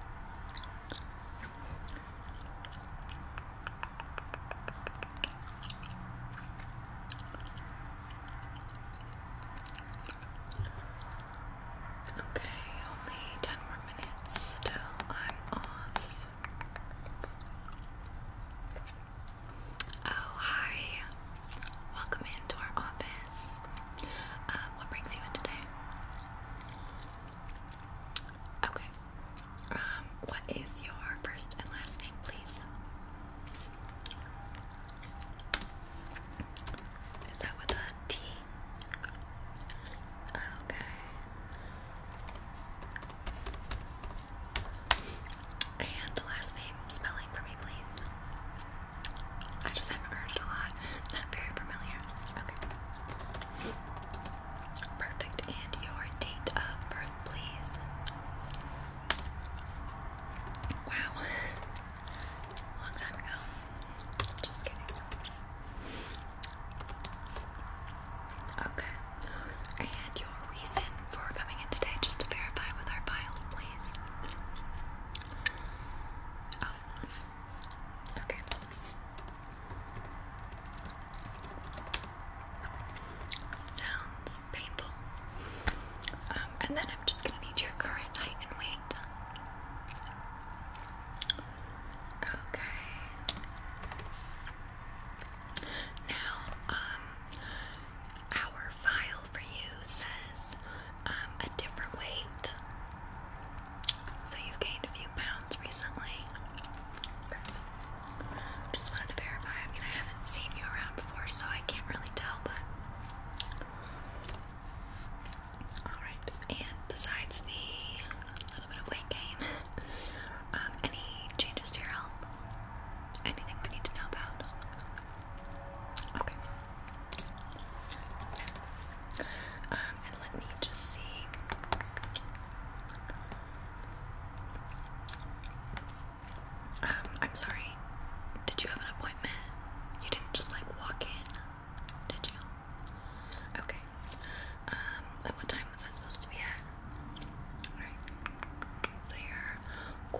Okay, only ten more minutes till I'm off. Oh, hi. Welcome into our office. Um, what brings you in today? Okay. Um, what is your first and last name, please? Is that with a T? Okay. And last name spelling for me, please. I just haven't heard it a lot. Not very familiar. Okay. Perfect. And your date of birth, please. Wow. Long time ago. Just kidding. Okay. And your reason for coming in today, just to verify with our files, please. Oh. Okay. Sounds painful. Um, and then I'm just going to need your current height and weight. Okay. Now, um, our file for you says um, a different weight. So you've gained a few pounds recently. Just wanted to verify. I I haven't seen you around before, so I can't really tell, but. Alright, and besides the little bit of weight gain, um, any changes to your health? Anything we need to know about? Okay. Um, let me just see. Um, I'm sorry. Did you have an appointment? You didn't just like walk in, did you? Okay. Um, at what time was that supposed to be at? Alright. So you're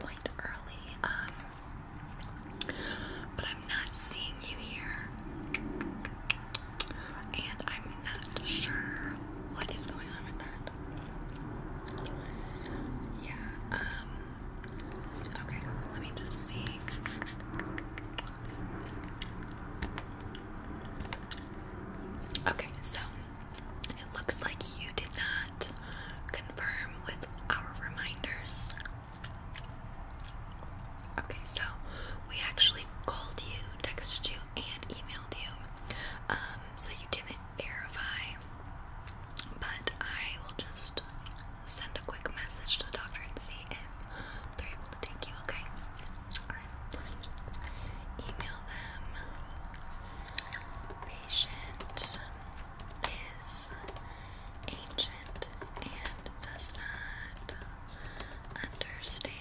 quite early. Um, but I'm not seeing you here and I'm not sure what is going on with that. Yeah, um, okay, let me just see. Okay, so it looks like you did not confirm with our reminders. Okay, so we actually called you, texted you, and emailed you. Um, so you didn't verify, but I will just send a quick message to the doctor and see if they're able to take you, okay? Alright, let me just email them. Patient is ancient and does not understand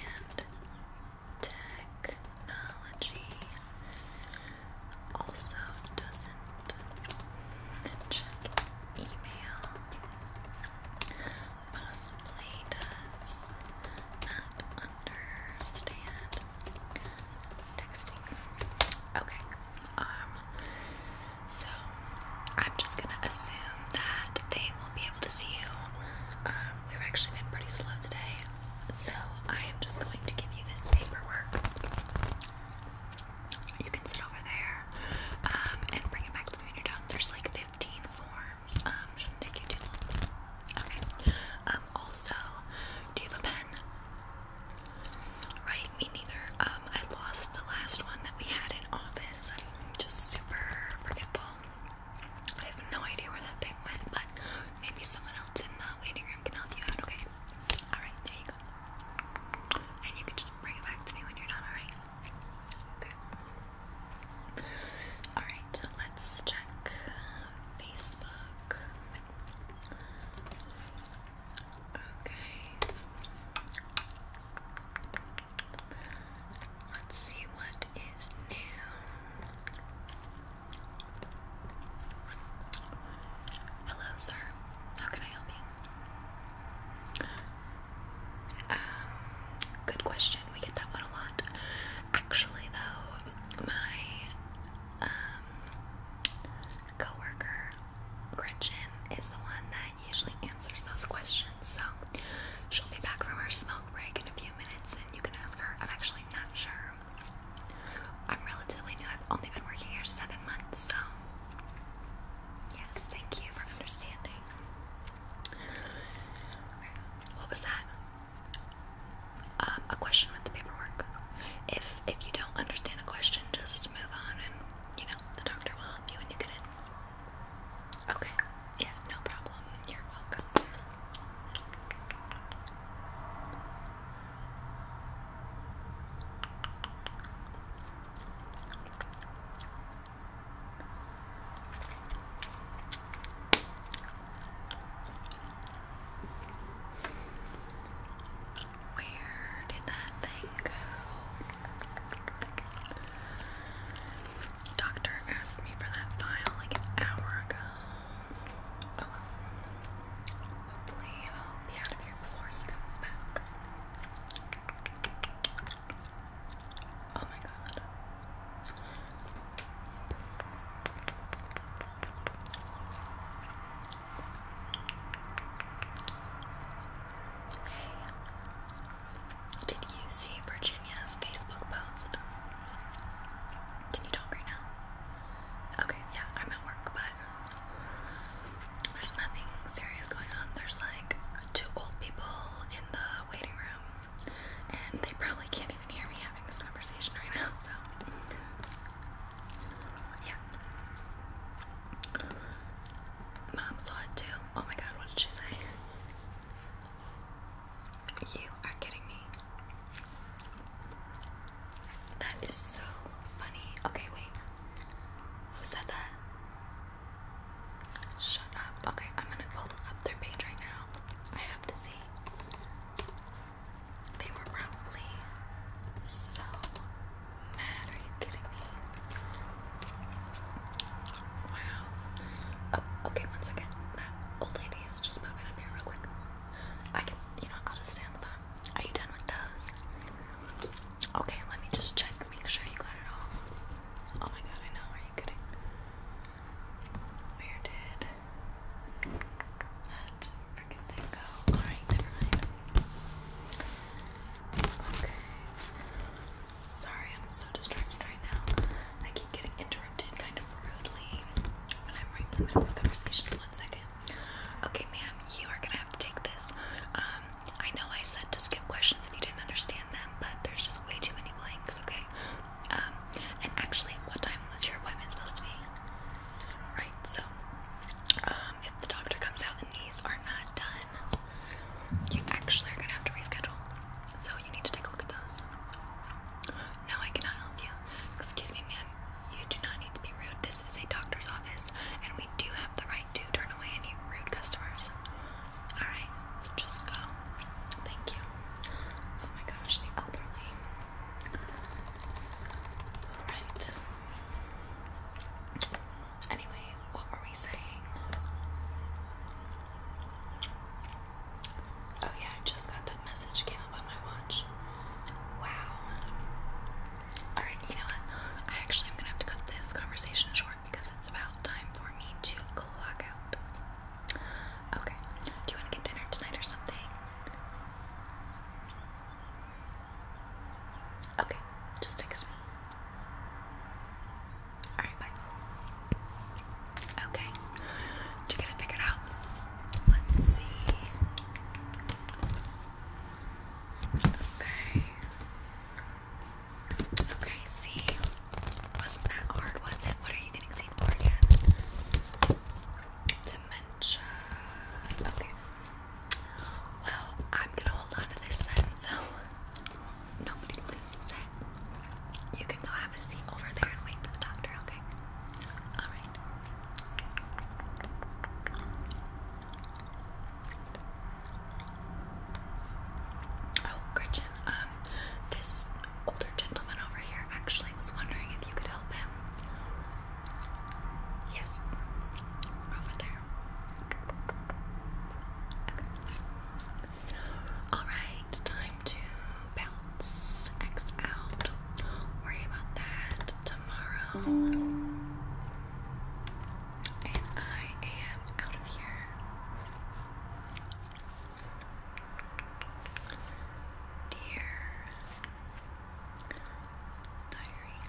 technology also doesn't check email possibly does not understand texting okay um so I'm just gonna assume that they will be able to see you. Um, we've actually been pretty slow today, so I am just going to give you this paperwork. You can sit over there um, and bring it back to me when you're done. There's like 15 forms. Um, shouldn't take you too Okay. Um, also, do you have a pen? Right, me neither. I lost the last one that we had in office. I'm just super forgetful. I have no idea where that thing went, but maybe someone else in the waiting room can help you out, okay? Alright, there you go. And you can just bring it back to me when you're done, alright? Okay. Alright, let's check Facebook. Okay. Let's see what is new. Hello, sir. How can I help you? Um, good question. We get that one a lot. Actually, though, my um, coworker Gretchen is the one that usually answers those questions. So she'll be back from her smoke break in a few minutes and you can ask her. I'm actually not sure. I'm relatively new. I've only been working here seven months, so yes, thank you for understanding. Okay. What was that? Um, a question with the paperwork. If if you don't understand a question, just move on and you know the doctor will help you when you get in. Okay. Yeah, no problem. You're welcome. Where did that thing go? Doctor asked me for that file like an hour ago. Oh, Hopefully I'll be out of here before he comes back. Oh my god. Hey. Did you see Virginia's Facebook post? Can you talk right now? Okay, yeah, I'm at work, but there's nothing serious going on. There's like two old people in the waiting room, and they probably can't even hear me having this conversation right now, so yeah. Mom saw it too. Oh my god, what did she say? You are kidding me. That is so funny. Okay, wait. Who said that? Shut up. Okay, I'm gonna pull up their page right now. I have to see. They were probably so mad. Are you kidding me? Oh, wow. Oh, okay, one second. That old lady is just popping up here real quick. I can, you know, I'll just stay on the phone. Are you done with those? Okay, let me just check, make sure you got it all. Oh my god, I know. Are you kidding? Where did that freaking thing go? Alright, never mind. Okay. Sorry, I'm so distracted right now. I keep getting interrupted kind of rudely when I'm right in the middle of a conversation. One second. Okay, ma'am, you are gonna have to take this. Um, I know I said to skip questions if you didn't understand them, but there's just way too many blanks, okay? Um, and actually, what time was your appointment supposed to be? Right, so, um, if the doctor comes out and these are not done, you actually are gonna have to reschedule. So you need to take a look at those. No, I cannot help you. Excuse me, ma'am. You do not need to be rude. This is a doctor's office, and we do have the right to turn away any rude customers. Alright, just go. Thank you. Oh my gosh, the elderly. Alright. Anyway, what were we saying? Oh yeah, I just got that message. Came up on my watch. Wow. Alright, you know what? I actually am gonna have to cut this conversation short because it's about time for me to clock out. Okay. Do you wanna get dinner tonight or something? Okay, just text me. Alright, bye. Okay. Did you get it figured out? Let's see. Okay. Okay, see. Wasn't that hard, was it? What are you getting seen for again? Dementia. Okay. Well, I'm gonna hold on to this then, so nobody loses you can go have a seat over there and wait for the doctor, okay? Alright. Oh, Gretchen, um, this older gentleman over here actually was wondering if you could help him. Yes, over there. Alright, time to bounce X out. worry about that tomorrow. And I am out of here. Dear Diary.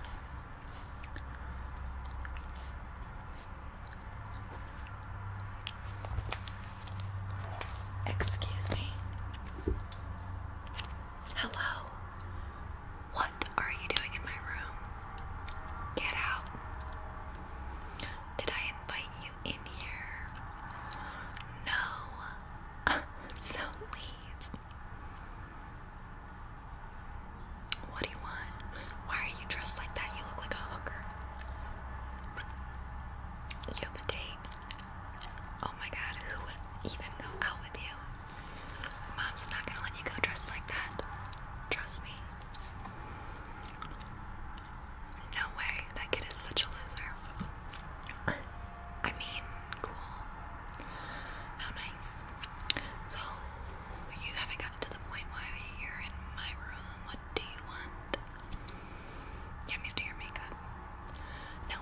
Excuse me. Hello. What are you doing in my room? Get out. Did I invite you in here? No. so leave. What do you want? Why are you dressed like that? You look like a hooker. You have a date? Oh my god, who would even go out with you? Mom's not gonna let you go dressed like that. Trust me. No way, that kid is such a loser. I mean, cool. How nice. So, you haven't gotten to the point where you're in my room. What do you want? You want me to do your makeup? No,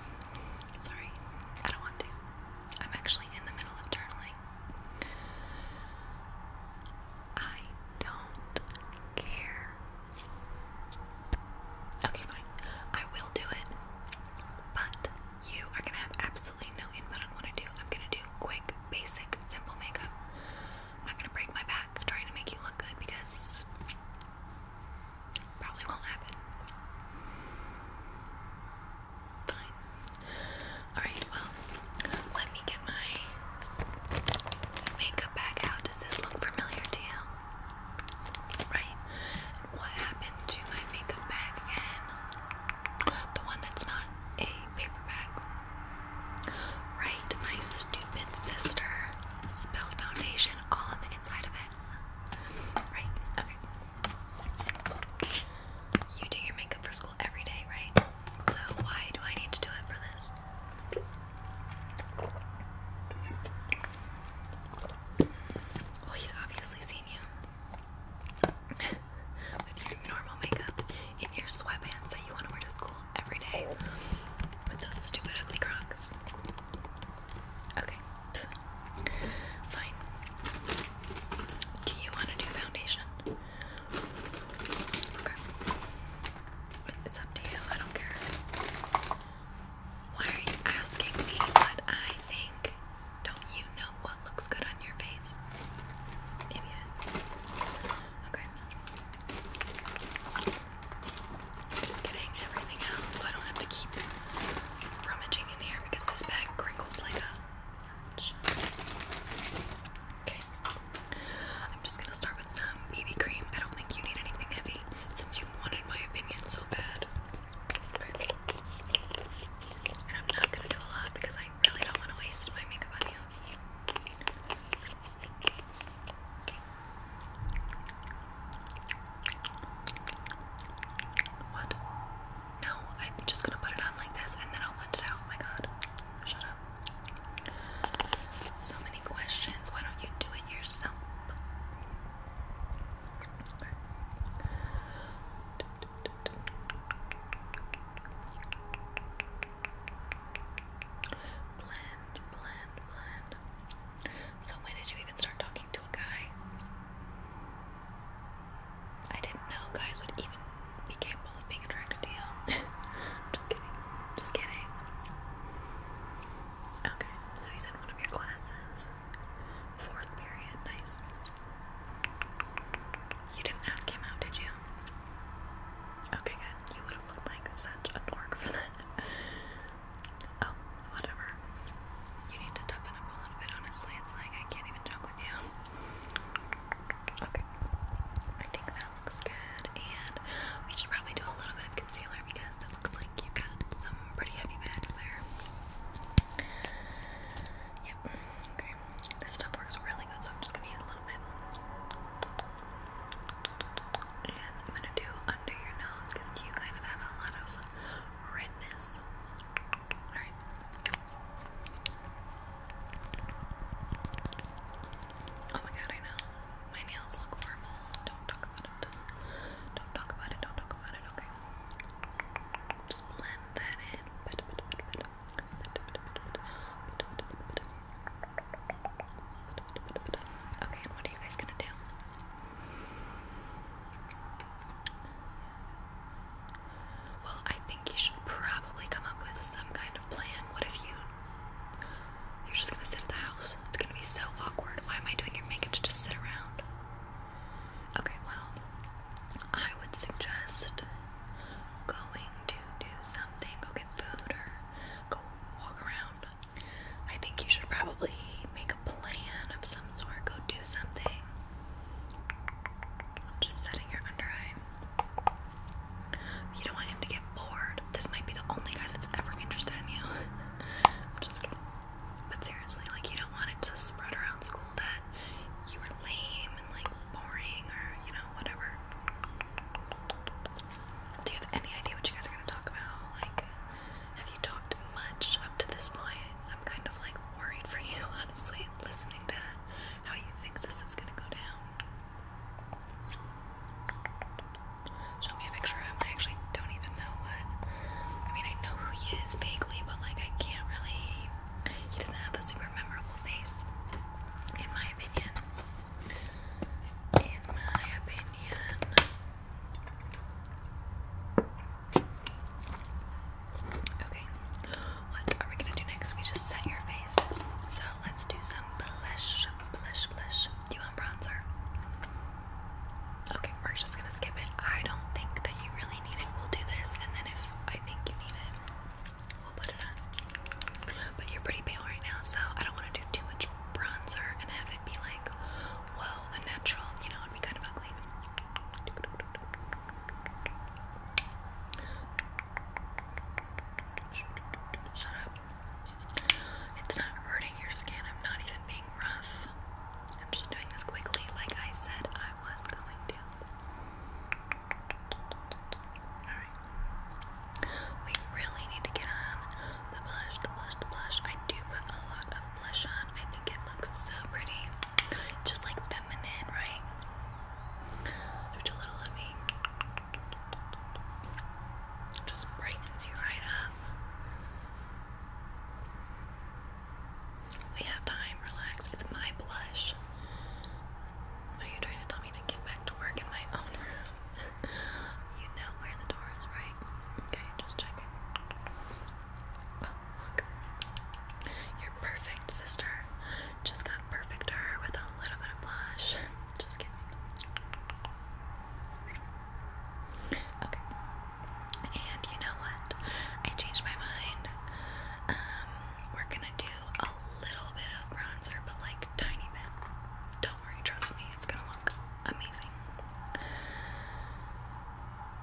sorry, I don't want to. I'm actually in the middle of journaling. I don't care. Okay, fine. I will do it, but you are gonna have absolutely no input on what I do. I'm gonna do quick, basic, simple makeup. I'm not gonna break my back trying to make you look good because probably won't happen. Fine. Alright, well, let me get my makeup back out. Does this look familiar to you? Right? What happened to my makeup bag again? The one that's not a paper bag. Right, my stupid sister Spelled foundation all on the inside of it. Right? Okay. You do your makeup for school every day, right? So why do I need to do it for this? Well, he's obviously seen you with your normal makeup in your sweatpants that you want to wear to school every day with those stupid ugly crocs. Okay. Fine. Do you want to do foundation? Okay. It's up to you. I don't care. Why are you asking me what I think? Don't you know what looks good on your face? Idiot. Okay. I'm just getting everything out so I don't have to keep rummaging in here because this bag crinkles like a. Okay. I'm just gonna start with some BB cream. I don't think you need anything heavy since you wanted my opinion so bad. And I'm not gonna do a lot because I really don't want to waste my makeup on you. What? No, I'm just gonna put it on like this and then I'll blend it out. Oh my god. Shut up. So many questions. Why don't you do it yourself? Blend, blend, blend, so when did you even start talking to a guy? I didn't know guys would even be capable of being attracted to you. Just kidding. Just kidding. Okay, so he's in one of your classes. Fourth period, nice. You didn't ask him out, did you? Okay, good. You would have looked like such a dork for that. Oh, whatever. You need to toughen up a little bit, honestly. It's like I can't even joke with you. Okay. I think that looks good. And we should probably do a little bit of concealer because it looks like you have got some pretty heavy bags there. Yep. Okay. This stuff works really good, so I'm just gonna use a little bit. And I'm gonna do under your nose because you kind of have a lot of redness. Oh my god, I know. My nails look horrible. Don't talk about it. Don't talk about it. Don't talk about it. Okay. Just blend that in. Okay, what are you guys gonna do? Well, I think you should probably come up with some kind of plan. What if you you're just gonna sit at the house? It's gonna be so awkward. Why am I doing your makeup to just sit around? Okay, well, I would suggest going to do something, go get food or go walk around. I think you should probably make a plan of some sort. Go do something. I'm just setting your under eye. You don't want him to get bored. This might be the only guy that's ever interested in you. I'm just kidding. But seriously, like you don't want it to spread around school that you were lame and like boring or you know, whatever. Do you have any idea what you guys are gonna talk about? Like have you talked much up to this point? I'm kind of like worried for you, honestly, listening to how you think this is gonna go down. Show me a picture of him. I actually don't even know what. I mean, I know who he is vaguely, but like, I can't really. He doesn't have a super memorable face, in my opinion. In my opinion. Okay, what are we gonna do next? We just set your face. So let's do some blush, blush, blush. Do you want bronzer? Okay, Mark's just gonna skip it. I don't think that you really need it. We'll do this, and then if I think you need it, we'll put it on. But you're pretty pale right now, so I don't want to do too much bronzer and have it be like whoa, unnatural, you know, it'd be kind of ugly. Shut up. It's not hurting your skin. I'm not even being rough. I'm just doing this quickly, like I said I was going to. Alright. We really need to get on the blush, the blush, blush. I do put a lot of blush on. I think it looks so pretty. Just like feminine, right? Just a little of me. Just brightens you right up. We have time, relax. It's my blush. What are you trying to tell me to get back to work in my own room? you know where the door is, right? Okay, just checking. Oh, look. Your perfect sister just got perfect with a little bit of blush. Just kidding. Okay. And you know what? I changed my mind. Um, we're gonna do a little bit of bronzer, but like tiny bit. Don't worry, trust me, it's gonna look amazing.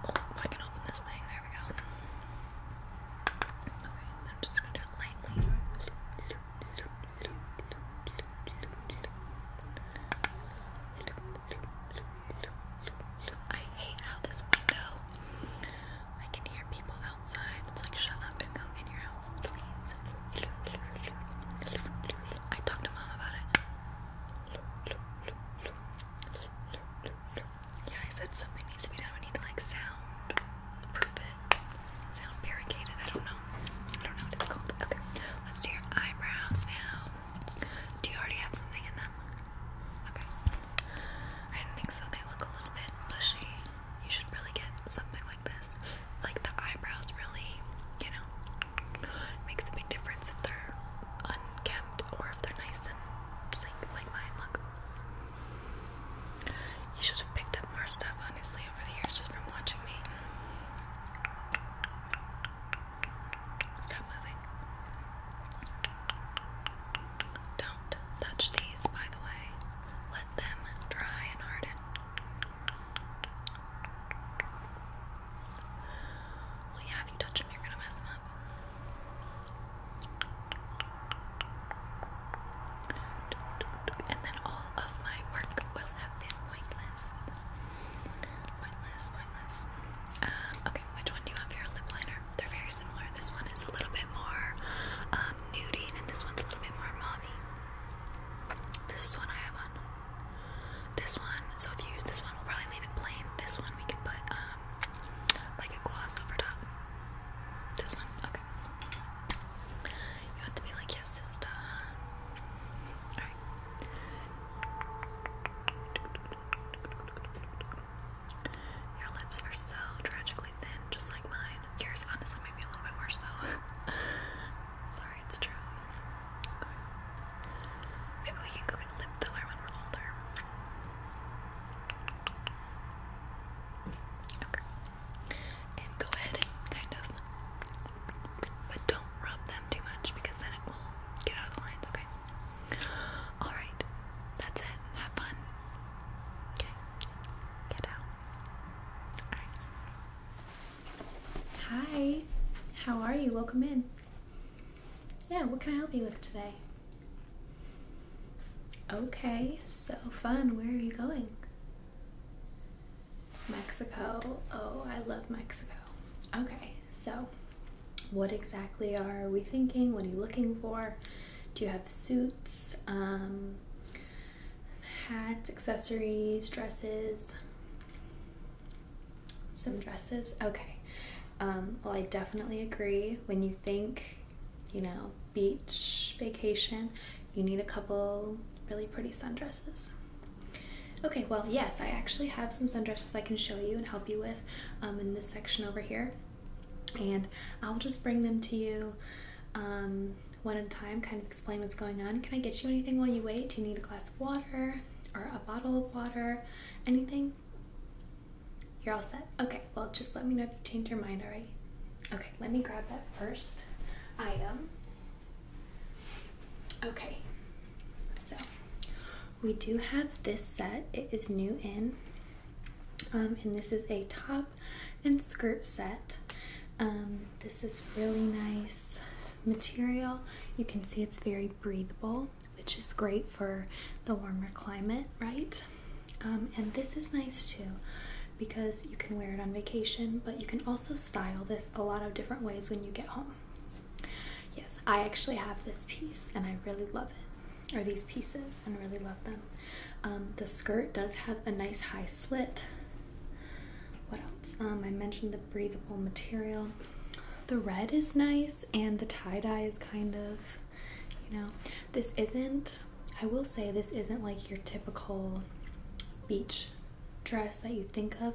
I can open this thing, there we go. Okay, I'm just gonna do I hate how this window I can hear people outside. It's like shut up and go in your house, please. I talked to mom about it. Yeah, I said something needs to be done. We need to like sound proof it. Sound barricaded. I don't know. I don't know what it's called. Okay. Let's do your eyebrows now. Do you already have something in them? Okay. I do not think so. They look a little bit bushy. You should really get something like this. Like the eyebrows really, you know, makes a big difference if they're unkempt or if they're nice and sleek like mine. Look. You should have picked up more stuff, honestly, over the years just from watching me. Stop moving. Don't touch these, by the way. Let them dry and harden. Well, yeah, if you touch them, you're gonna mess them up. And then all of my work will have been pointless. Pointless, pointless. Um, okay, which one do you want your lip liner? They're very similar. This one is a little bit more um, nudie, and this one's a little bit more mommy. This is one I have on this one. So if you use this one, we'll probably leave it plain. This one we can put um, like a gloss over top. This one, okay. You want to be like your sister, Alright. Your lips are so tragically thin, just like mine. Yours honestly made me a little bit worse though. Sorry, it's true. Maybe we can go get lip filler when we're older. Okay. And go ahead kind of, but don't rub them too much because then it will get out of the okay? Alright, that's it. Have fun. Okay, get out. Alright. Hi, how are you? Welcome in. Yeah, what can I help you with today? Okay, so fun. Where are you going? Mexico. Oh, I love Mexico. Okay, so what exactly are we thinking? What are you looking for? Do you have suits, um, hats, accessories, dresses? Some dresses? Okay. Um, well, I definitely agree. When you think, you know, beach vacation, you need a couple really pretty sundresses. Okay, well, yes, I actually have some sundresses I can show you and help you with um, in this section over here. And I'll just bring them to you um, one at a time, kind of explain what's going on. Can I get you anything while you wait? Do you need a glass water or a bottle of water, anything? You're all set. Okay, well, just let me know if you change your mind, all right? Okay, let me grab that first item. Okay, so we do have this set. It is new in, um, and this is a top and skirt set. Um, this is really nice material. You can see it's very breathable which is great for the warmer climate, right? Um, and this is nice too because you can wear it on vacation, but you can also style this a lot of different ways when you get home. Yes, I actually have this piece and I really love it, or these pieces, and really love them. Um, the skirt does have a nice high slit. What else? Um, I mentioned the breathable material the red is nice and the tie-dye is kind of you know this isn't i will say this isn't like your typical beach dress that you think of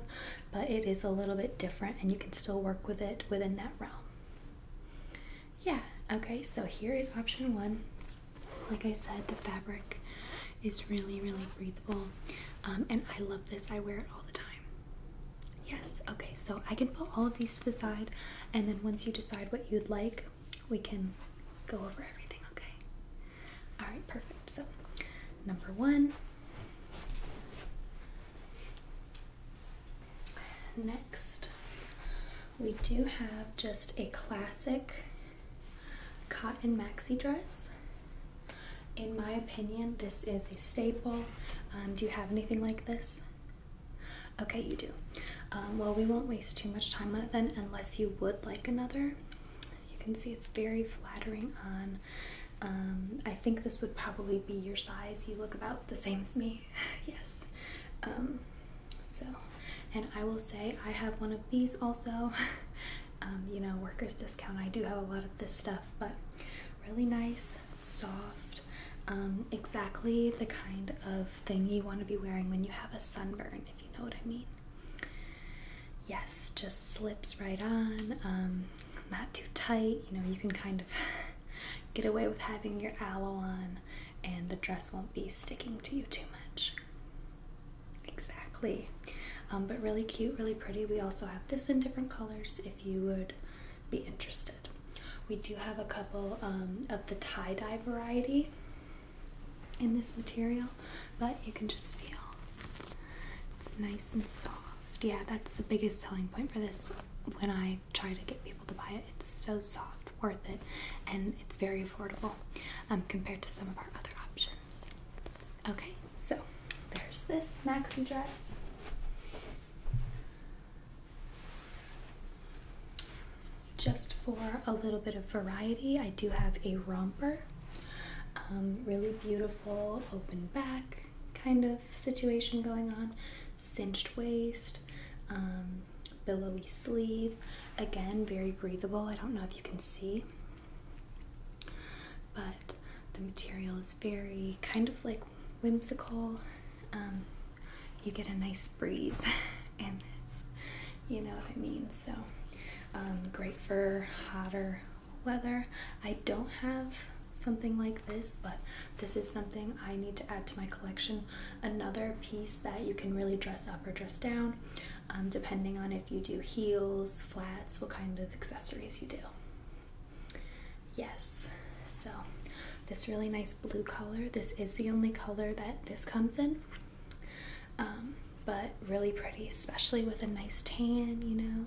but it is a little bit different and you can still work with it within that realm yeah okay so here is option one like i said the fabric is really really breathable um, and i love this i wear it all the time Yes, okay, so I can put all of these to the side, and then once you decide what you'd like, we can go over everything, okay? Alright, perfect. So, number one. Next, we do have just a classic cotton maxi dress in my opinion, this is a staple. Um, do you have anything like this? Okay, you do. Um, well, we won't waste too much time on it then, unless you would like another. You can see it's very flattering on. Um, I think this would probably be your size. You look about the same as me. yes. so, and I will say I have one of these also. you know, workers discount. I do have a lot of this stuff, but really nice soft, um, exactly the kind of thing you want to be wearing when you have a sunburn, if you know what I mean. Yes, just slips right on, um, not too tight. You know, you can kind of get away with having your aloe on, and the dress won't be sticking to you too much. Exactly. Um, but really cute, really pretty. We also have this in different colors if you would be interested. We do have a couple um, of the tie dye variety in this material, but you can just feel it's nice and soft. Yeah, that's the biggest selling point for this. When I try to get people to buy it, it's so soft, worth it, and it's very affordable um, compared to some of our other options. Okay, so there's this maxi dress. Just for a little bit of variety, I do have a romper. Um, really beautiful open back kind of situation going on, cinched waist, um, billowy sleeves. Again, very breathable. I don't know if you can see, but the material is very kind of like whimsical. Um, you get a nice breeze, and you know what I mean. So, um, great for hotter weather. I don't have something like this, but this is something I need to add to my collection. Another piece that you can really dress up or dress down, um, depending on if you do heels, flats, what kind of accessories you do. Yes, so this really nice blue color. This is the only color that this comes in, um, but really pretty, especially with a nice tan, you know.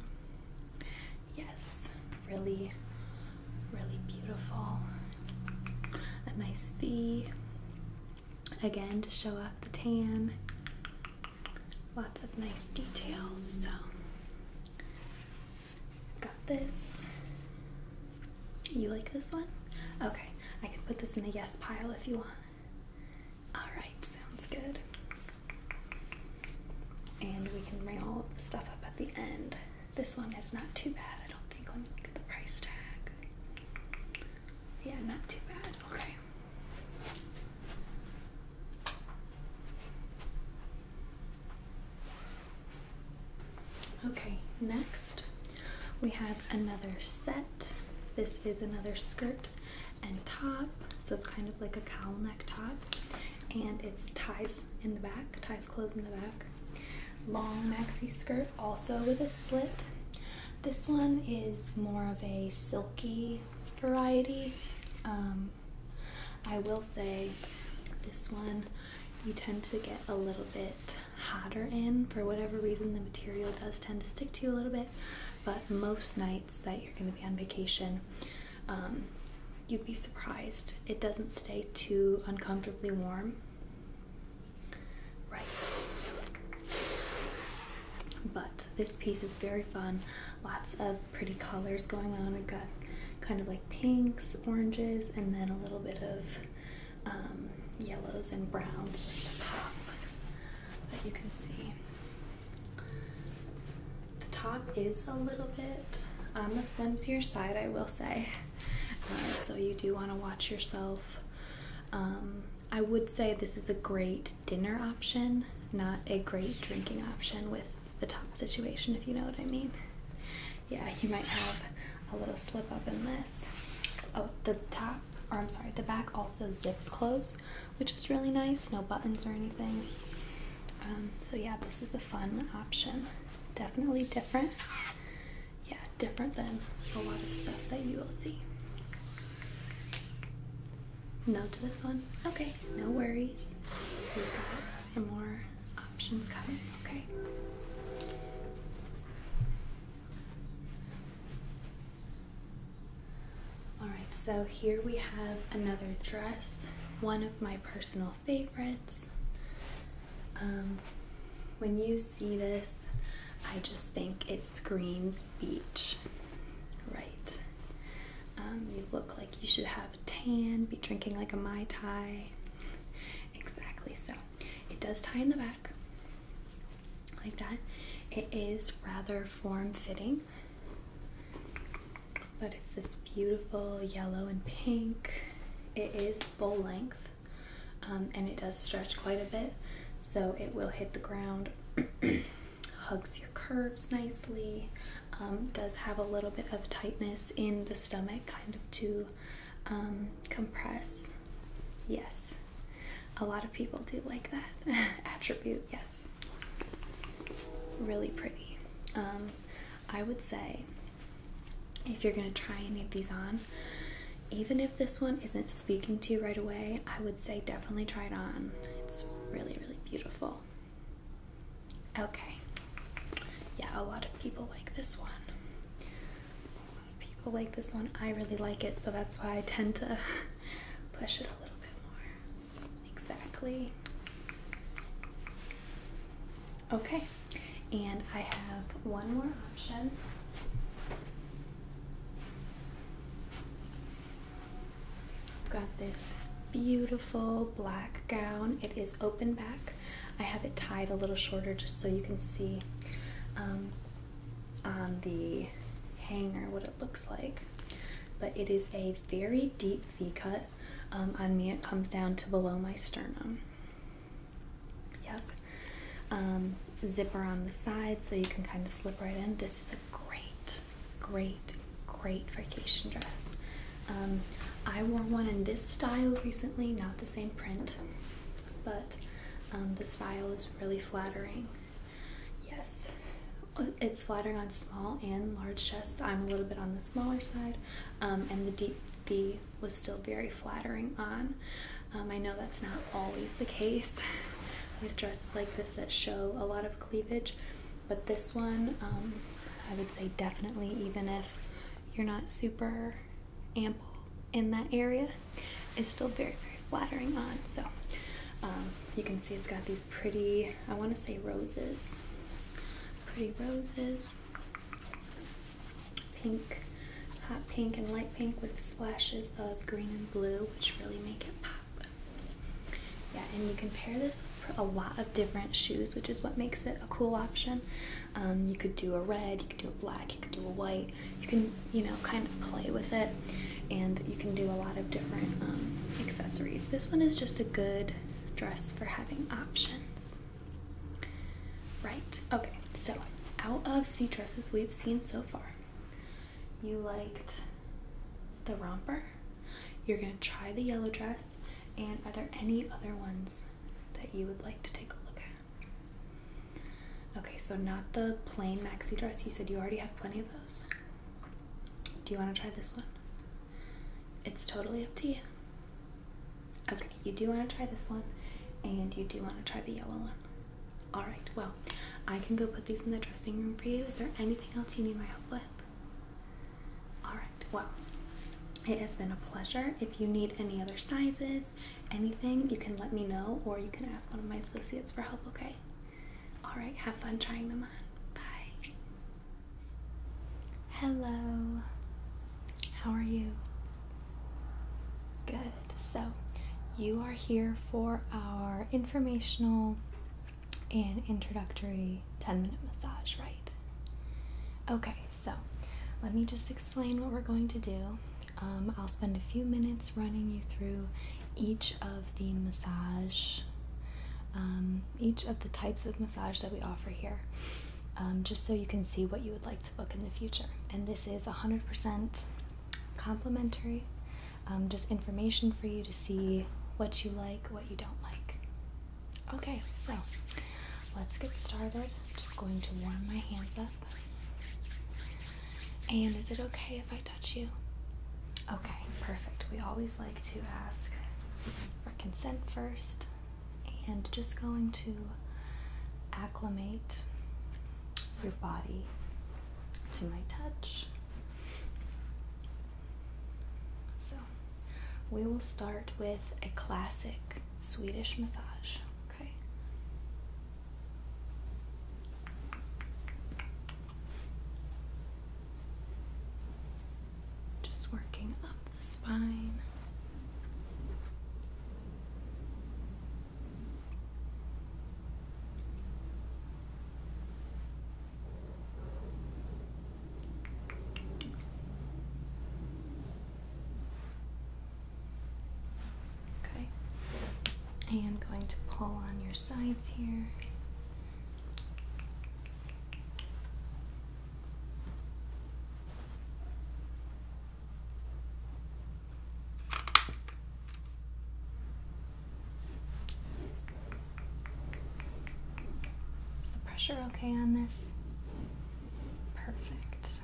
Yes, really, really beautiful. A nice V, again, to show off the tan. Lots of nice details, so Got this. You like this one? Okay, I can put this in the yes pile if you want. Alright, sounds good. And we can bring all of the stuff up at the end. This one is not too bad, I don't think. Let me look at the price tag. Yeah, not too bad. Okay. Okay, next we have another set. This is another skirt and top, so it's kind of like a cowl neck top, and it's ties in the back, ties closed in the back. Long maxi skirt, also with a slit. This one is more of a silky variety. Um, I will say this one you tend to get a little bit hotter in for whatever reason the material does tend to stick to you a little bit but most nights that you're going to be on vacation um, you'd be surprised it doesn't stay too uncomfortably warm right but this piece is very fun lots of pretty colors going on. We've got kind of like pinks, oranges, and then a little bit of um, yellows and browns just to pop. But you can see the top is a little bit on the flimsier side, I will say. Um, so you do want to watch yourself. Um, I would say this is a great dinner option, not a great drinking option with the top situation, if you know what I mean. Yeah, you might have a little slip up in this. Oh, the top, or I'm sorry, the back also zips close, which is really nice. No buttons or anything. Um, so yeah, this is a fun option. Definitely different. Yeah, different than a lot of stuff that you will see. No to this one? Okay, no worries. We've got some more options coming, okay? Alright, so here we have another dress, one of my personal favorites. Um, when you see this, I just think it screams beach, right? Um, you look like you should have a tan, be drinking like a Mai Tai. Exactly, so it does tie in the back like that. It is rather form fitting, but it's this beautiful yellow and pink. It is full length um, and it does stretch quite a bit, so it will hit the ground, hugs your curves nicely. Um, does have a little bit of tightness in the stomach, kind of to um, compress. Yes, a lot of people do like that attribute. Yes, really pretty. Um, I would say if you're going to try any of these on, even if this one isn't speaking to you right away, I would say definitely try it on. It's really, really beautiful. Okay. Yeah, a lot of people like this one. people like this one. I really like it, so that's why I tend to push it a little bit more. Exactly. Okay. And I have one more option. I've got this beautiful black gown. It is open back. I have it tied a little shorter just so you can see um, on the hanger what it looks like. But it is a very deep V cut. Um, on me, it comes down to below my sternum. Yep. Um, zipper on the side so you can kind of slip right in. This is a great, great, great vacation dress. Um, I wore one in this style recently, not the same print, but um, the style is really flattering. Yes, it's flattering on small and large chests. I'm a little bit on the smaller side, um, and the deep V was still very flattering on. I know that's not always the case with dresses like this that show a lot of cleavage, but this one, I would say definitely, even if you're not super ample in that area It's still very, very flattering on. So um, you can see it's got these pretty, I want to say roses, pretty roses, pink, hot pink and light pink with splashes of green and blue, which really make it pop. Yeah, and you can pair this with a lot of different shoes, which is what makes it a cool option. Um, you could do a red, you could do a black, you could do a white. You can, you know, kind of play with it, and you can do a lot of different um, accessories. This one is just a good dress for having options. Right, okay, so out of the dresses we've seen so far, you liked the romper. You're gonna try the yellow dress. And are there any other ones that you would like to take a look at? Okay, so not the plain maxi dress. You said you already have plenty of those. Do you want to try this one? It's totally up to you. Okay, you do want to try this one, and you do want to try the yellow one. All right, well, I can go put these in the dressing room for you. Is there anything else you need my help with? All right, well, it has been a pleasure. If you need any other sizes, anything, you can let me know or you can ask one of my associates for help, okay? Alright, have fun trying them on. Bye. Hello. How are you? Good. So, you are here for our informational and introductory 10 minute massage, right? Okay, so, let me just explain what we're going to do. Um, I'll spend a few minutes running you through each of the massage, um, each of the types of massage that we offer here, um, just so you can see what you would like to book in the future. And this is 100% complimentary, just information for you to see what you like, what you don't like. Okay, so let's get started. just going to warm my hands up. And is it okay if I touch you? Okay, perfect. We always like to ask for consent first. And just going to acclimate your body to my touch. So, we will start with a classic Swedish massage. Okay. Just working up the spine. Okay. And going to pull on your sides here. Is the pressure okay on this? Perfect.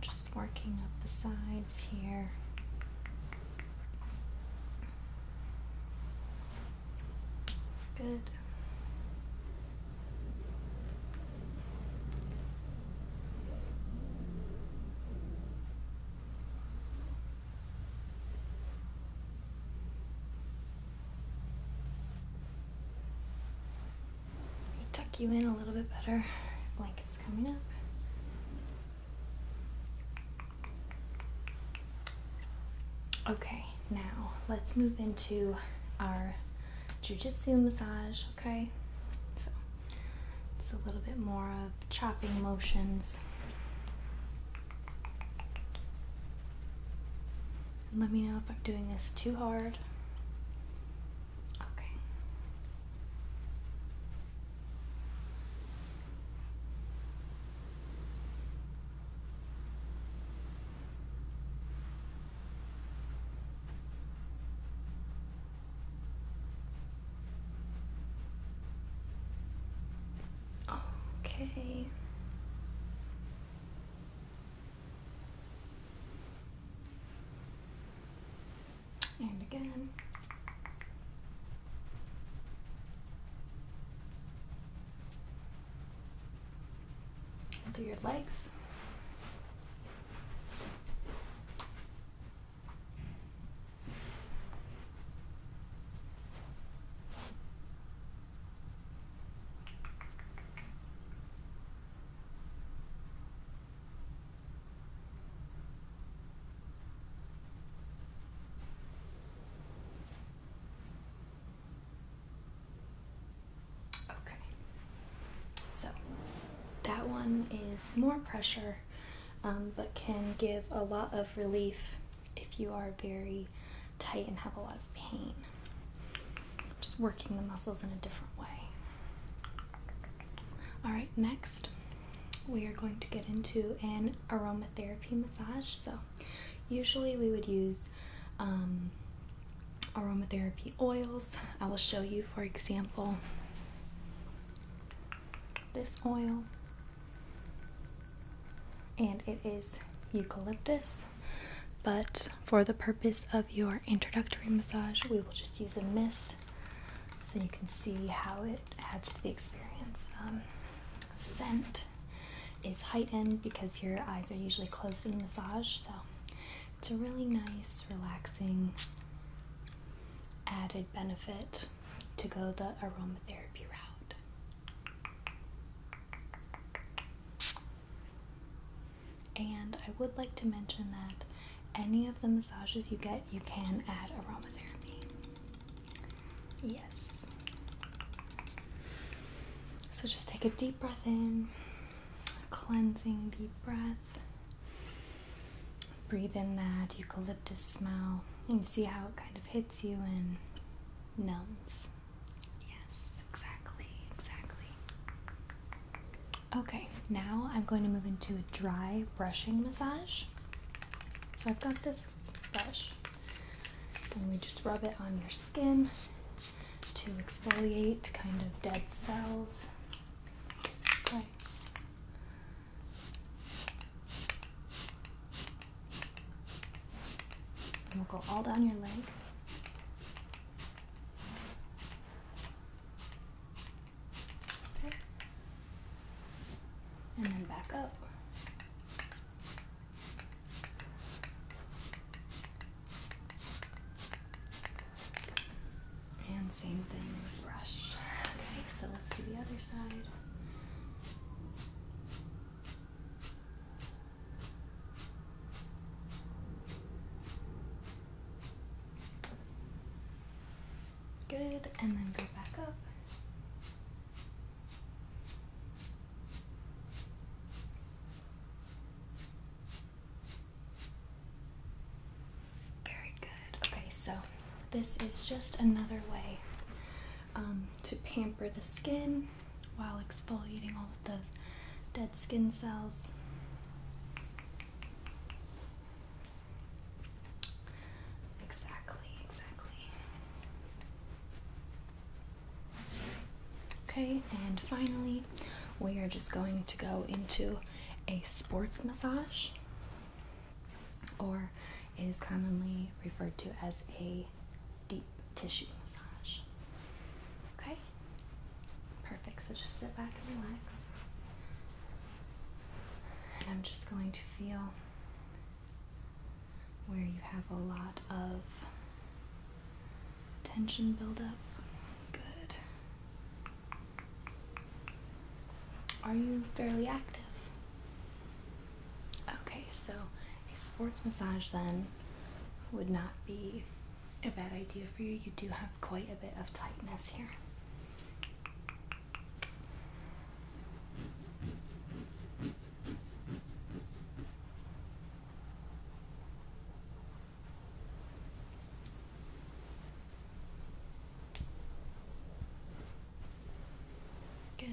just working up the sides here. Good. Tuck you in a little bit better. Blanket's coming up. Okay, now let's move into our jujitsu massage, okay? So it's a little bit more of chopping motions. let me know if I'm doing this too hard. Okay. Okay. And again i do your legs. Okay, so that one is more pressure, um, but can give a lot of relief if you are very tight and have a lot of pain. Just working the muscles in a different way. Alright, next we are going to get into an aromatherapy massage. So Usually we would use um, aromatherapy oils. I will show you, for example, this oil, and it is eucalyptus. But for the purpose of your introductory massage, we will just use a mist so you can see how it adds to the experience. Um, scent is heightened because your eyes are usually closed in the massage. So it's a really nice, relaxing added benefit to go the aromatherapy route. And I would like to mention that any of the massages you get, you can add aromatherapy. Yes. So just take a deep breath in, a cleansing deep breath. Breathe in that eucalyptus smell and see how it kind of hits you and numbs. Yes, exactly, exactly. Okay, now I'm going to move into a dry brushing massage. So I've got this brush. Then we just rub it on your skin to exfoliate kind of dead cells. we'll go all down your leg. And then back up. And same thing with brush. Okay, so let's do the other side. Good, and then go back up. Very good. Okay, so this is just another way um, to pamper the skin while exfoliating all of those dead skin cells. Exactly, exactly. Okay, and finally, we are just going to go into a sports massage, or it is commonly referred to as a deep tissue massage. Okay, perfect. So just sit back and relax. And I'm just going to feel where you have a lot of tension buildup. Good. Are you fairly active? Okay, so a sports massage then would not be a bad idea for you. You do have quite a bit of tightness here. Good.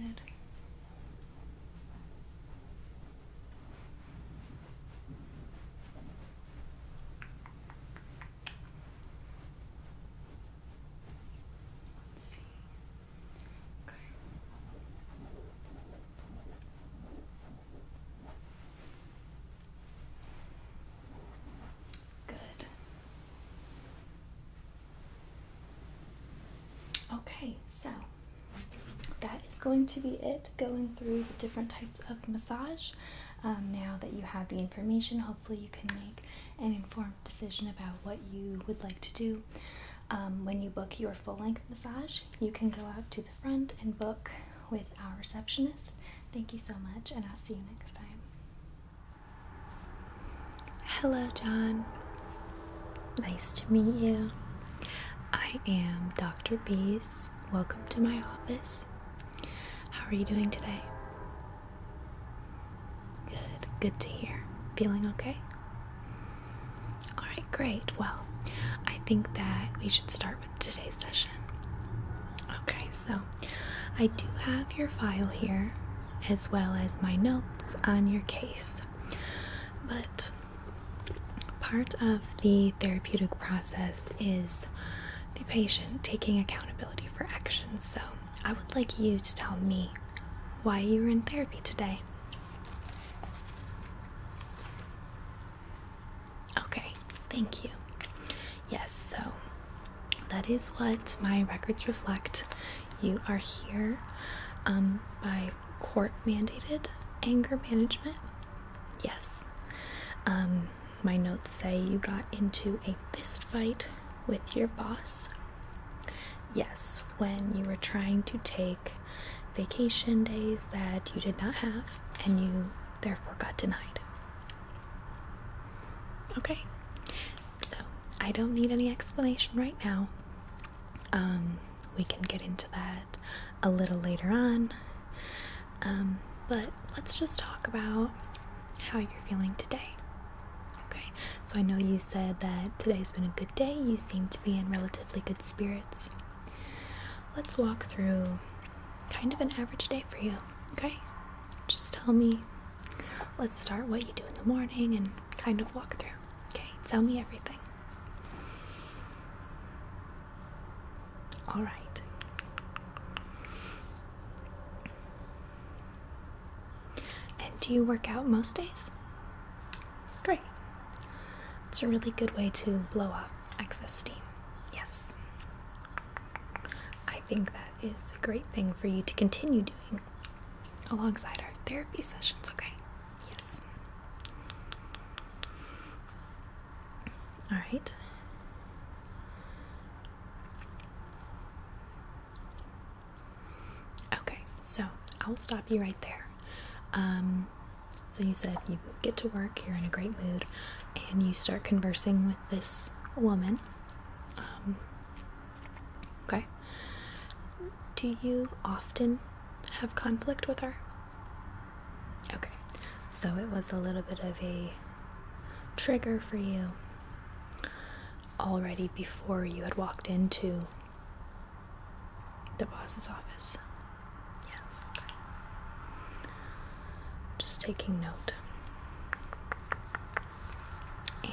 Let's see. Okay. Good. Okay, so that is going to be it going through the different types of massage. Um, now that you have the information, hopefully you can make an informed decision about what you would like to do. Um, when you book your full length massage, you can go out to the front and book with our receptionist. Thank you so much, and I'll see you next time. Hello, John. Nice to meet you. I am Dr. Bees. Welcome to my office. How are you doing today? Good, good to hear. Feeling okay? All right, great. Well, I think that we should start with today's session. Okay, so I do have your file here as well as my notes on your case. But part of the therapeutic process is the patient taking accountability for actions. So I would like you to tell me why you are in therapy today. Okay, thank you. Yes, so that is what my records reflect. You are here um, by court mandated anger management. Yes. Um, my notes say you got into a fist fight with your boss. Yes, when you were trying to take vacation days that you did not have and you therefore got denied. Okay, so I don't need any explanation right now. Um, we can get into that a little later on. Um, but let's just talk about how you're feeling today. Okay, so I know you said that today's been a good day, you seem to be in relatively good spirits. Let's walk through kind of an average day for you, okay? Just tell me, let's start what you do in the morning and kind of walk through, okay? Tell me everything. All right. And do you work out most days? Great. It's a really good way to blow off excess steam. Yes. I think that is a great thing for you to continue doing alongside our therapy sessions, okay? Yes. All right. Okay, so I'll stop you right there. Um, so you said you get to work, you're in a great mood, and you start conversing with this woman. Um, okay. Do you often have conflict with her? Okay. So it was a little bit of a trigger for you already before you had walked into the boss's office. Yes, okay. Just taking note.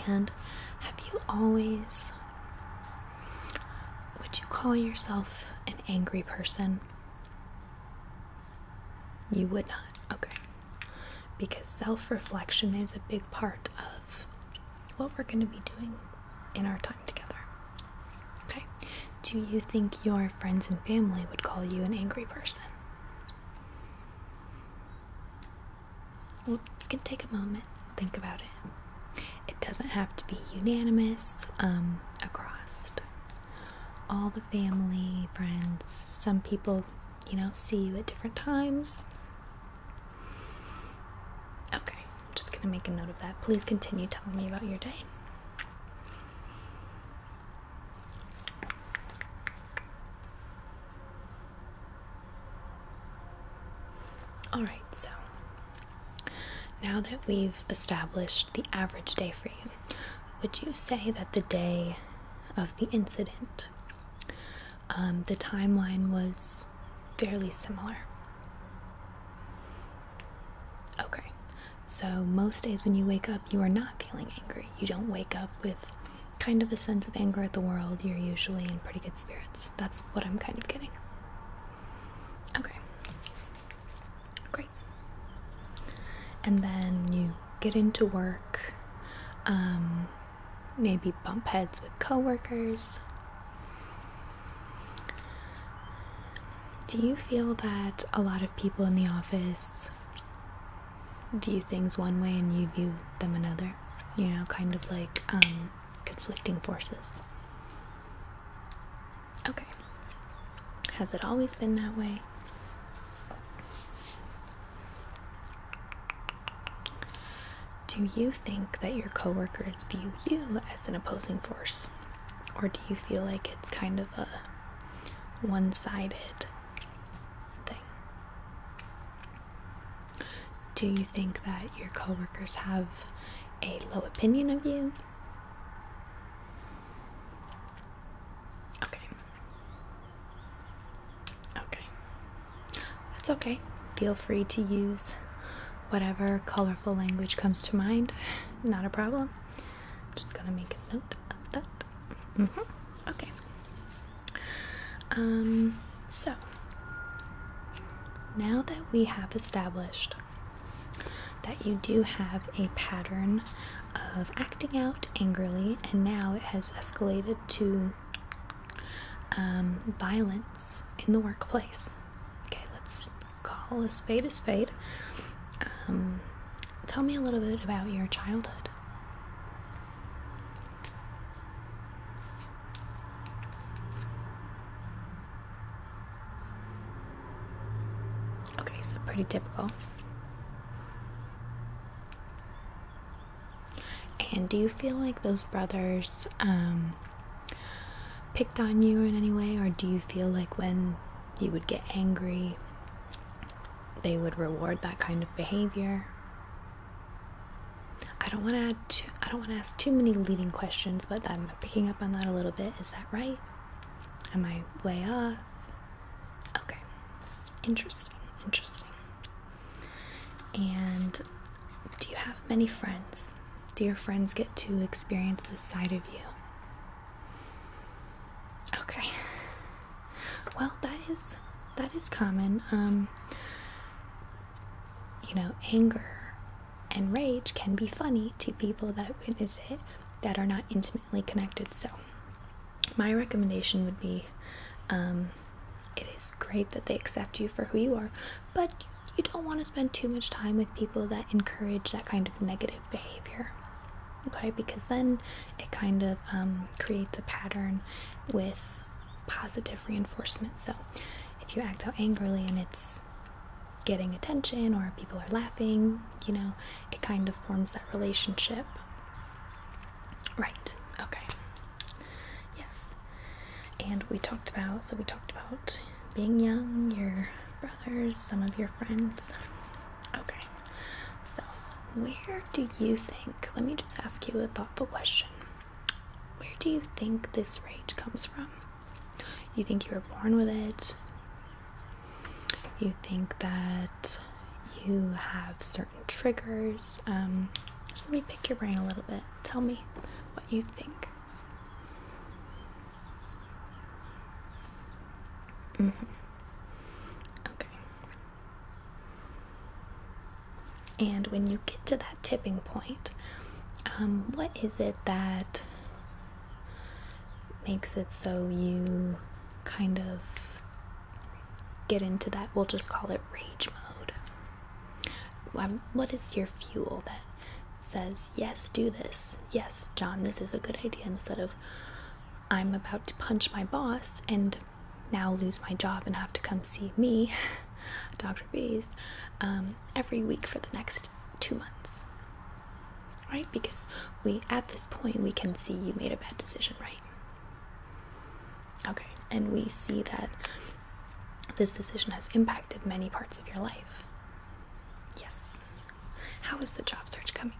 And have you always. Would you call yourself an angry person? You would not. Okay. Because self reflection is a big part of what we're going to be doing in our time together. Okay. Do you think your friends and family would call you an angry person? Well, you can take a moment, think about it. It doesn't have to be unanimous um, across all the family, friends. Some people, you know, see you at different times. Okay. I'm just going to make a note of that. Please continue telling me about your day. All right, so now that we've established the average day for you, would you say that the day of the incident, um, the timeline was fairly similar? Okay, so most days when you wake up, you are not feeling angry. You don't wake up with kind of a sense of anger at the world. You're usually in pretty good spirits. That's what I'm kind of getting. Okay, great. And then you get into work, um, maybe bump heads with coworkers. Do you feel that a lot of people in the office view things one way and you view them another? You know, kind of like um, conflicting forces. Okay. Has it always been that way? Do you think that your coworkers view you as an opposing force? Or do you feel like it's kind of a one sided thing? Do you think that your coworkers have a low opinion of you? Okay. Okay. That's okay. Feel free to use whatever colorful language comes to mind. Not a problem. Just gonna make a note of that. Mm-hmm. Okay. Um, so, now that we have established that you do have a pattern of acting out angrily, and now it has escalated to um, violence in the workplace. Okay, let's call a spade a spade. Um, tell me a little bit about your childhood. Okay, so pretty typical. And do you feel like those brothers um, picked on you in any way, or do you feel like when you would get angry, they would reward that kind of behavior? I don't want to add I don't want to ask too many leading questions, but I'm picking up on that a little bit. Is that right? Am I way off? Okay. Interesting. Interesting. And do you have many friends? Do your friends get to experience this side of you? Okay. Well, that is that is common. Um you know, anger and rage can be funny to people that witness it that are not intimately connected. So, my recommendation would be um it is great that they accept you for who you are, but you don't want to spend too much time with people that encourage that kind of negative behavior. Okay, because then it kind of um, creates a pattern with positive reinforcement. So if you act out angrily and it's getting attention or people are laughing, you know, it kind of forms that relationship. Right, okay. Yes. And we talked about, so we talked about being young, your some of your friends. Okay, so where do you think? Let me just ask you a thoughtful question. Where do you think this rage comes from? You think you were born with it? You think that you have certain triggers? Um, just let me pick your brain a little bit. Tell me what you think. Mm -hmm. Okay. And when you get to that tipping point, um, what is it that makes it so you kind of get into that? We'll just call it rage mode. Um, what is your fuel says, Yes, do this. Yes, John, this is a good idea. Instead of, I'm about to punch my boss and now lose my job and have to come see me, Dr. Bees, um, every week for the next two months. Right? Because we, at this point, we can see you made a bad decision, right? Okay, and we see that this decision has impacted many parts of your life. Yes, how is the job search coming,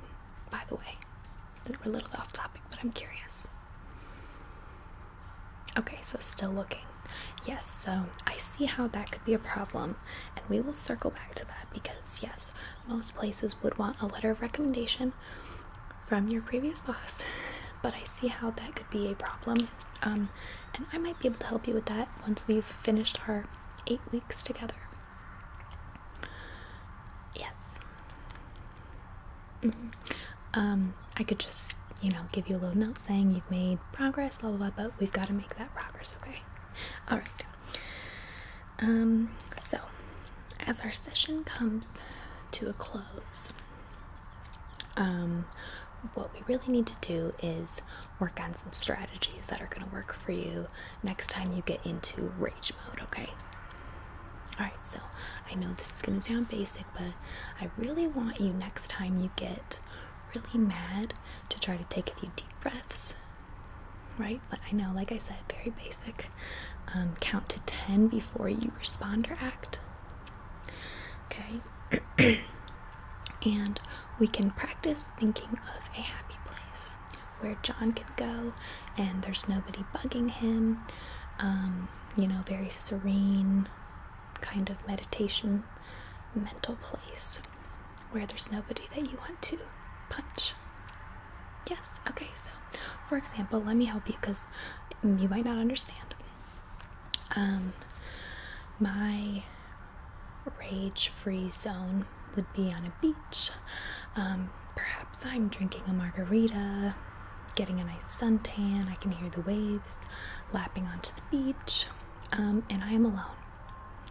by the way? We're a little bit off topic, but I'm curious. Okay, so still looking. Yes, so I see how that could be a problem, and we will circle back to that because, yes, most places would want a letter of recommendation from your previous boss, but I see how that could be a problem. Um, and I might be able to help you with that once we've finished our eight weeks together. Yes. Mm-hmm. Um, I could just, you know, give you a little note saying you've made progress, blah blah blah, but we've got to make that progress, okay? All right. Um, so as our session comes to a close, um, what we really need to do is work on some strategies that are going to work for you next time you get into rage mode, okay? All right, so I know this is going to sound basic, but I really want you next time you get really mad to try to take a few deep breaths, right? But I know, like I said, very basic. Um, count to 10 before you respond or act, okay? and we can practice thinking of a happy place where John can go and there's nobody bugging him. Um, you know, very serene kind of meditation, mental place where there's nobody that you want to punch. Yes, okay, so for example, let me help you because you might not understand. Um, my rage free zone would be on a beach. Um, perhaps I'm drinking a margarita, getting a nice suntan. I can hear the waves lapping onto the beach, um, and I am alone.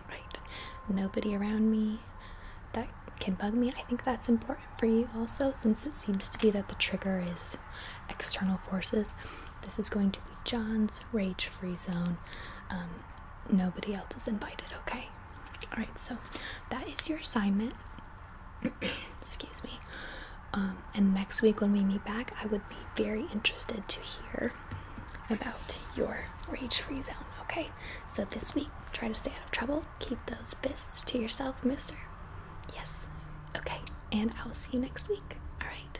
Right? Nobody around me. That can bug me. I think that's important for you also, since it seems to be that the trigger is external forces. This is going to be John's rage free zone. Um, nobody else is invited, okay? all right so that is your assignment excuse me um, and next week when we meet back i would be very interested to hear about your rage free zone okay so this week try to stay out of trouble keep those fists to yourself mister yes okay and i'll see you next week all right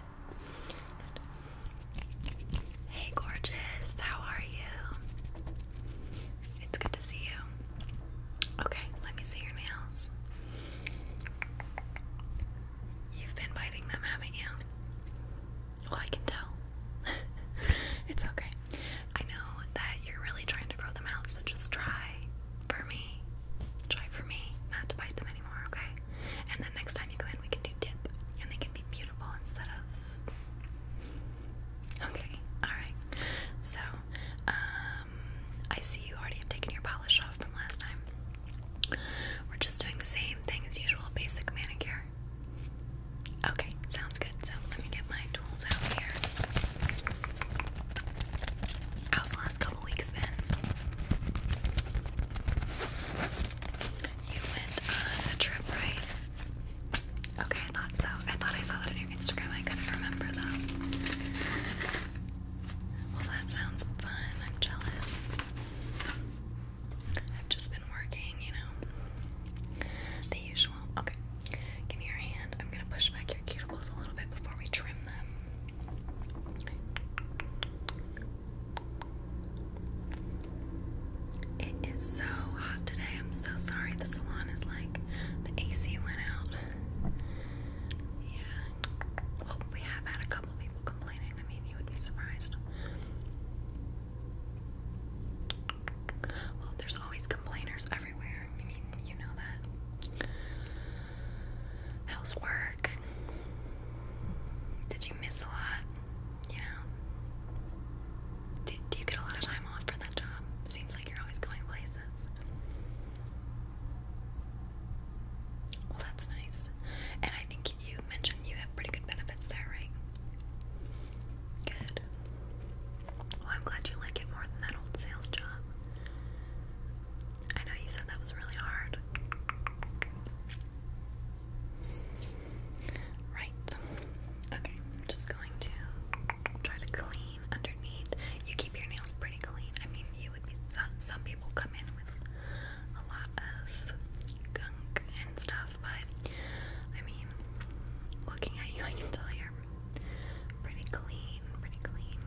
Hey, gorgeous. How are you? It's good to see you. Okay, let me see your nails. You've been biting them, haven't you? Well, I can tell. it's okay. I know that you're really trying to grow them out, so just try for me. Try for me not to bite them anymore, okay? And then next time you go in, we can do dip, and they can be beautiful instead of Okay, alright. So, um, I see you already have taken your polish off from last time. We're just doing the same thing as usual basic manicure. Okay, sounds good. So, let me get my tools out here. How's the last couple weeks been? You went on a trip, right? Okay, I thought so. I thought I saw that on your Instagram. I couldn't remember though. Well, that sounds fun. I'm jealous. I've just been working, you know. The usual. Okay, give me your hand. I'm gonna push back your cuticles a little bit before we trim them. It is so hot today. I'm so sorry. The salon is like the AC went out. Yeah. Well, we have had a couple people complaining. I mean, you would be surprised. Well, there's always complainers everywhere. I mean, you know that. How's work? Did you miss a lot? you know. Do, do you get a lot of time off for that job? Seems like you're always going places. Well, that's nice. And I think you mentioned you have pretty good benefits there, right? Good. Well, I'm glad you like it more than that old sales job. I know you said that was really hard. Right. Okay, i just going to try to clean underneath. You keep your nails pretty clean. I mean, you would be some people come in with a lot of gunk and stuff, but I mean, looking at you, I can tell you're pretty clean, pretty clean.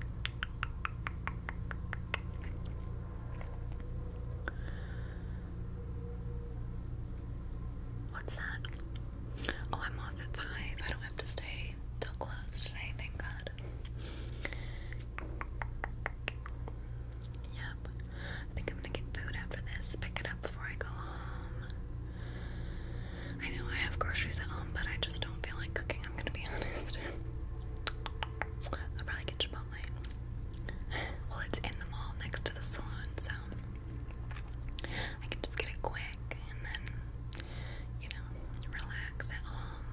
What's that? Oh, I'm off at 5. I don't have to stay till close today, thank God. Yep. I think I'm gonna get food after this, pick it up before I go home. I know I have groceries at home, but I just don't feel like cooking, I'm gonna be honest. I'll probably get Chipotle. Well, it's in the mall next to the salon, so I can just get it quick and then, you know, relax at home.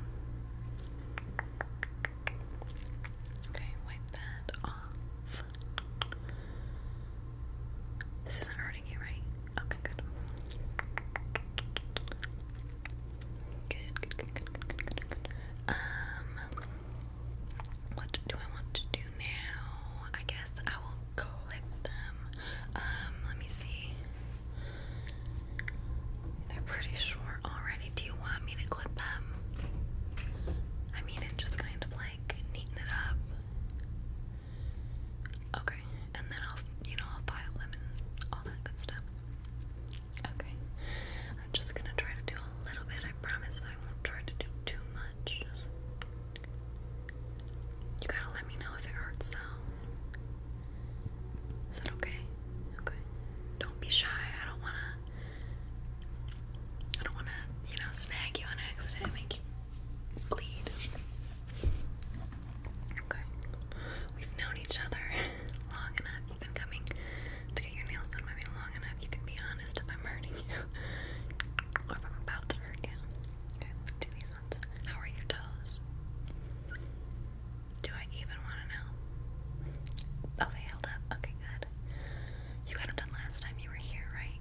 Okay, wipe that off. This isn't hurting you, right? Okay, good. Good, good, good, good, good, Um, what do I want to do now? I guess I will clip them. Um, let me see. They're pretty short already. Do you want me to clip them? I mean, and just kind of like neaten it up. Okay, and then I'll, you know, I'll file them and all that good stuff. Okay, I'm just gonna try to do a little bit. I promise I won't try to do too much. Just you gotta let me know if it hurts though. Is that okay? Okay. Don't be shy. I don't wanna I don't wanna, you know, snag you on accident make you bleed. Okay. We've known each other long enough. You've been coming to get your nails done by me long enough. You can be i How are your toes? Do I even want to know? Oh, they held up. Okay, good. You got them done last time you were here, right?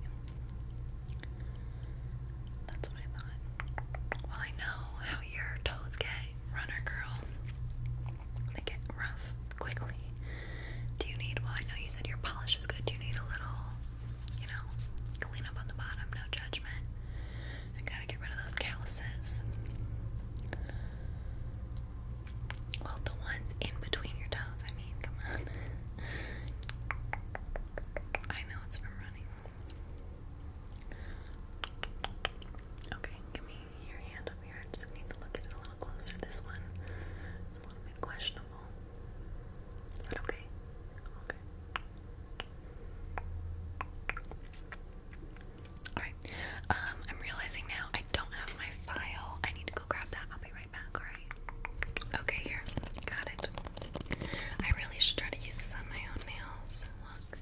That's what I thought. Well, I know how your toes get, runner girl. They get rough quickly. Do you need, well, I know you said your polish is good. Do you need a little you know, clean up on the bottom, no judgment. I gotta get rid of those calluses. Well, the ones in between your toes, I mean, come on. I know it's from running. Okay, give me your hand over here. I just need to look at it a little closer. This one is a little bit questionable. Is that okay? Okay. Alright. Um, I'm realizing now I don't have my file. I need to go grab that. I'll be right back, alright? Okay, here. Got it. I really should try to use this on my own nails. Look.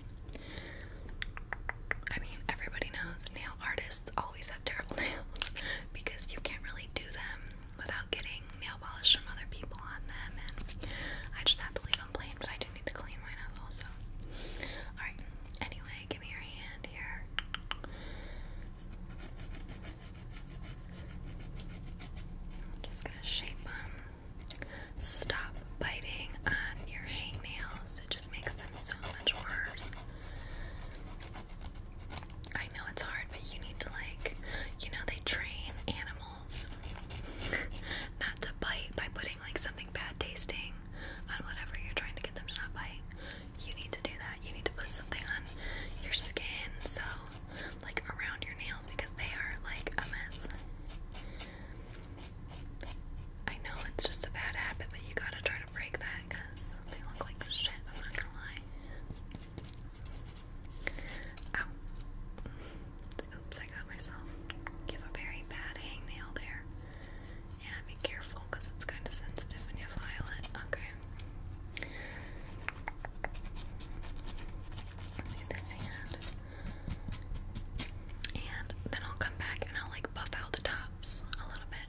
I mean, everybody knows nail artists always have terrible nails because you can't really do them without getting nail polish from other people on them, and I just have to leave them plain, but I do need to clean mine up also. Alright, anyway, give me your hand here. I'm just gonna shape them. Stop biting on your hangnails, it just makes them so much worse. I know it's hard, but you need to, like, you know, they train animals not to bite by putting, like, something bad tasting on whatever you're trying to get them to not bite. You need to do that. You need to put something on your skin, so, like, around your nails because they are, like, a mess. I know it's just a bad habit, but you gotta try to break that because they look like shit, I'm not gonna lie. Oops, I got myself. Give a very bad hangnail there. Yeah, be careful because it's kind of sensitive when you file it. Okay. let this hand. And then I'll come back and I'll like buff out the tops a little bit.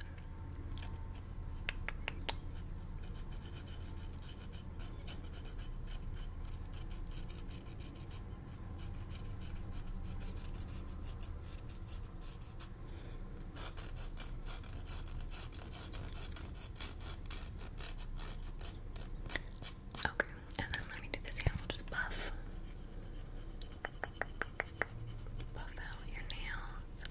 Okay, and then let me do this here. just buff, buff out your nails.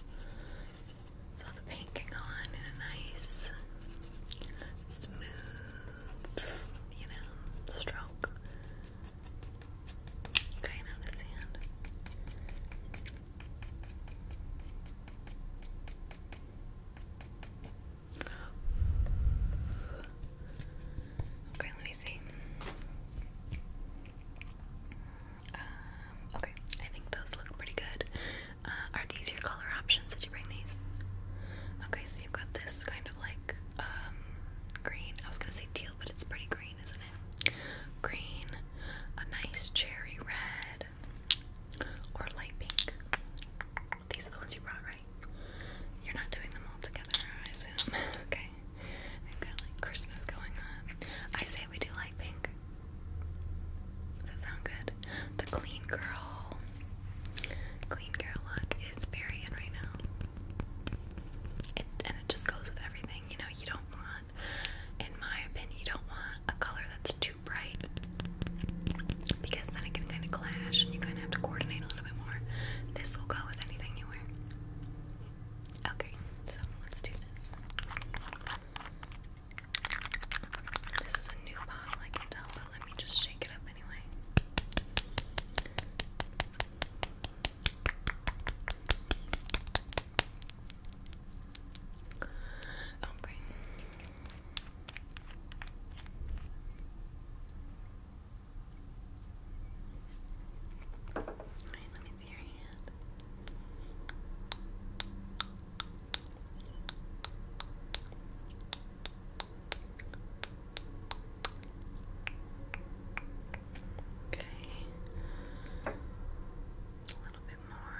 So the paint can go on in a nice, smooth, you know, stroke. Kind of the sand. Okay, let me see. Um, okay, I think those look pretty good. Uh, are these your color options? Did you bring these? Okay, so you've got this kind of like um, green. I was gonna say teal, but it's pretty green, isn't it? Green, a nice cherry red, or light pink. These are the ones you brought, right? You're not doing them all together, I assume. okay, I've got like Christmas going on. I say we do light pink. Does that sound good? The clean girl, clean girl look is very in right now. and it just goes with everything, you know. You don't want, in my opinion, you don't want a color that's too bright because then it can kind of clash and you kind of have to coordinate a little bit more. This will go with anything you wear. Okay, so let's do this. This is a new bottle, I can tell, but let me just shake it up anyway. Okay. Oh, Alright, let me see your hand. Okay. A little bit more.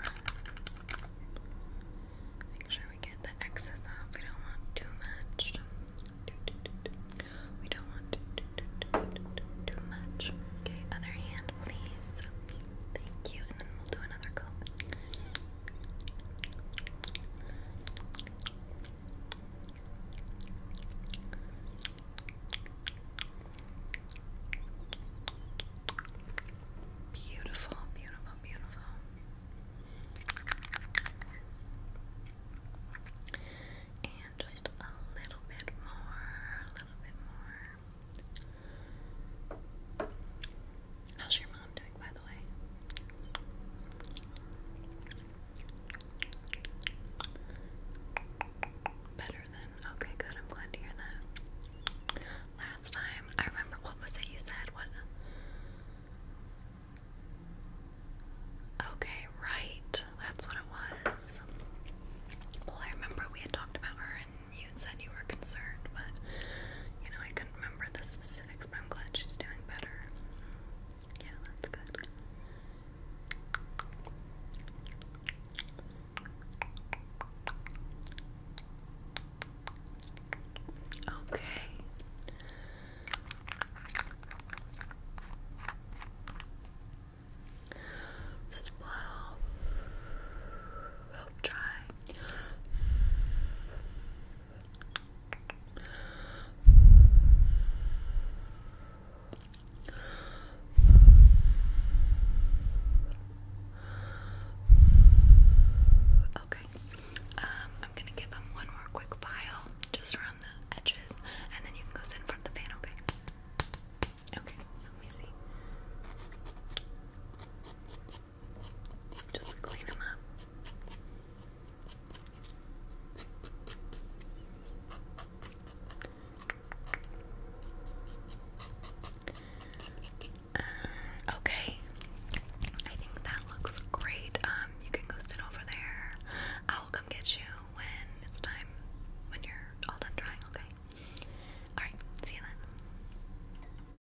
Make sure we get the excess off. We don't want too much. We don't want too much. Okay, other hand, please. Thank you. And then we'll do another coat. Beautiful, beautiful, beautiful. And just a little bit more, a little bit more. How's your mom doing, by the way? Better than okay, good. I'm glad to hear that. Last time, I remember what was it you said? What? Okay, right. That's what it was. Well, I remember we had talked about her and you said you were concerned, but you know, I couldn't remember the specifics, but I'm glad she's doing better. Yeah, that's good. Okay. Just blow. Help dry Okay. Um, I'm gonna give them one more quick file just around the edges, and then you can go sit in front of the fan, okay? Okay, let me see. Just clean them up. Uh, okay, I think that looks great. Um, you can go sit over there. I'll come get you when it's time, when you're all done drying, okay? Alright, see you then.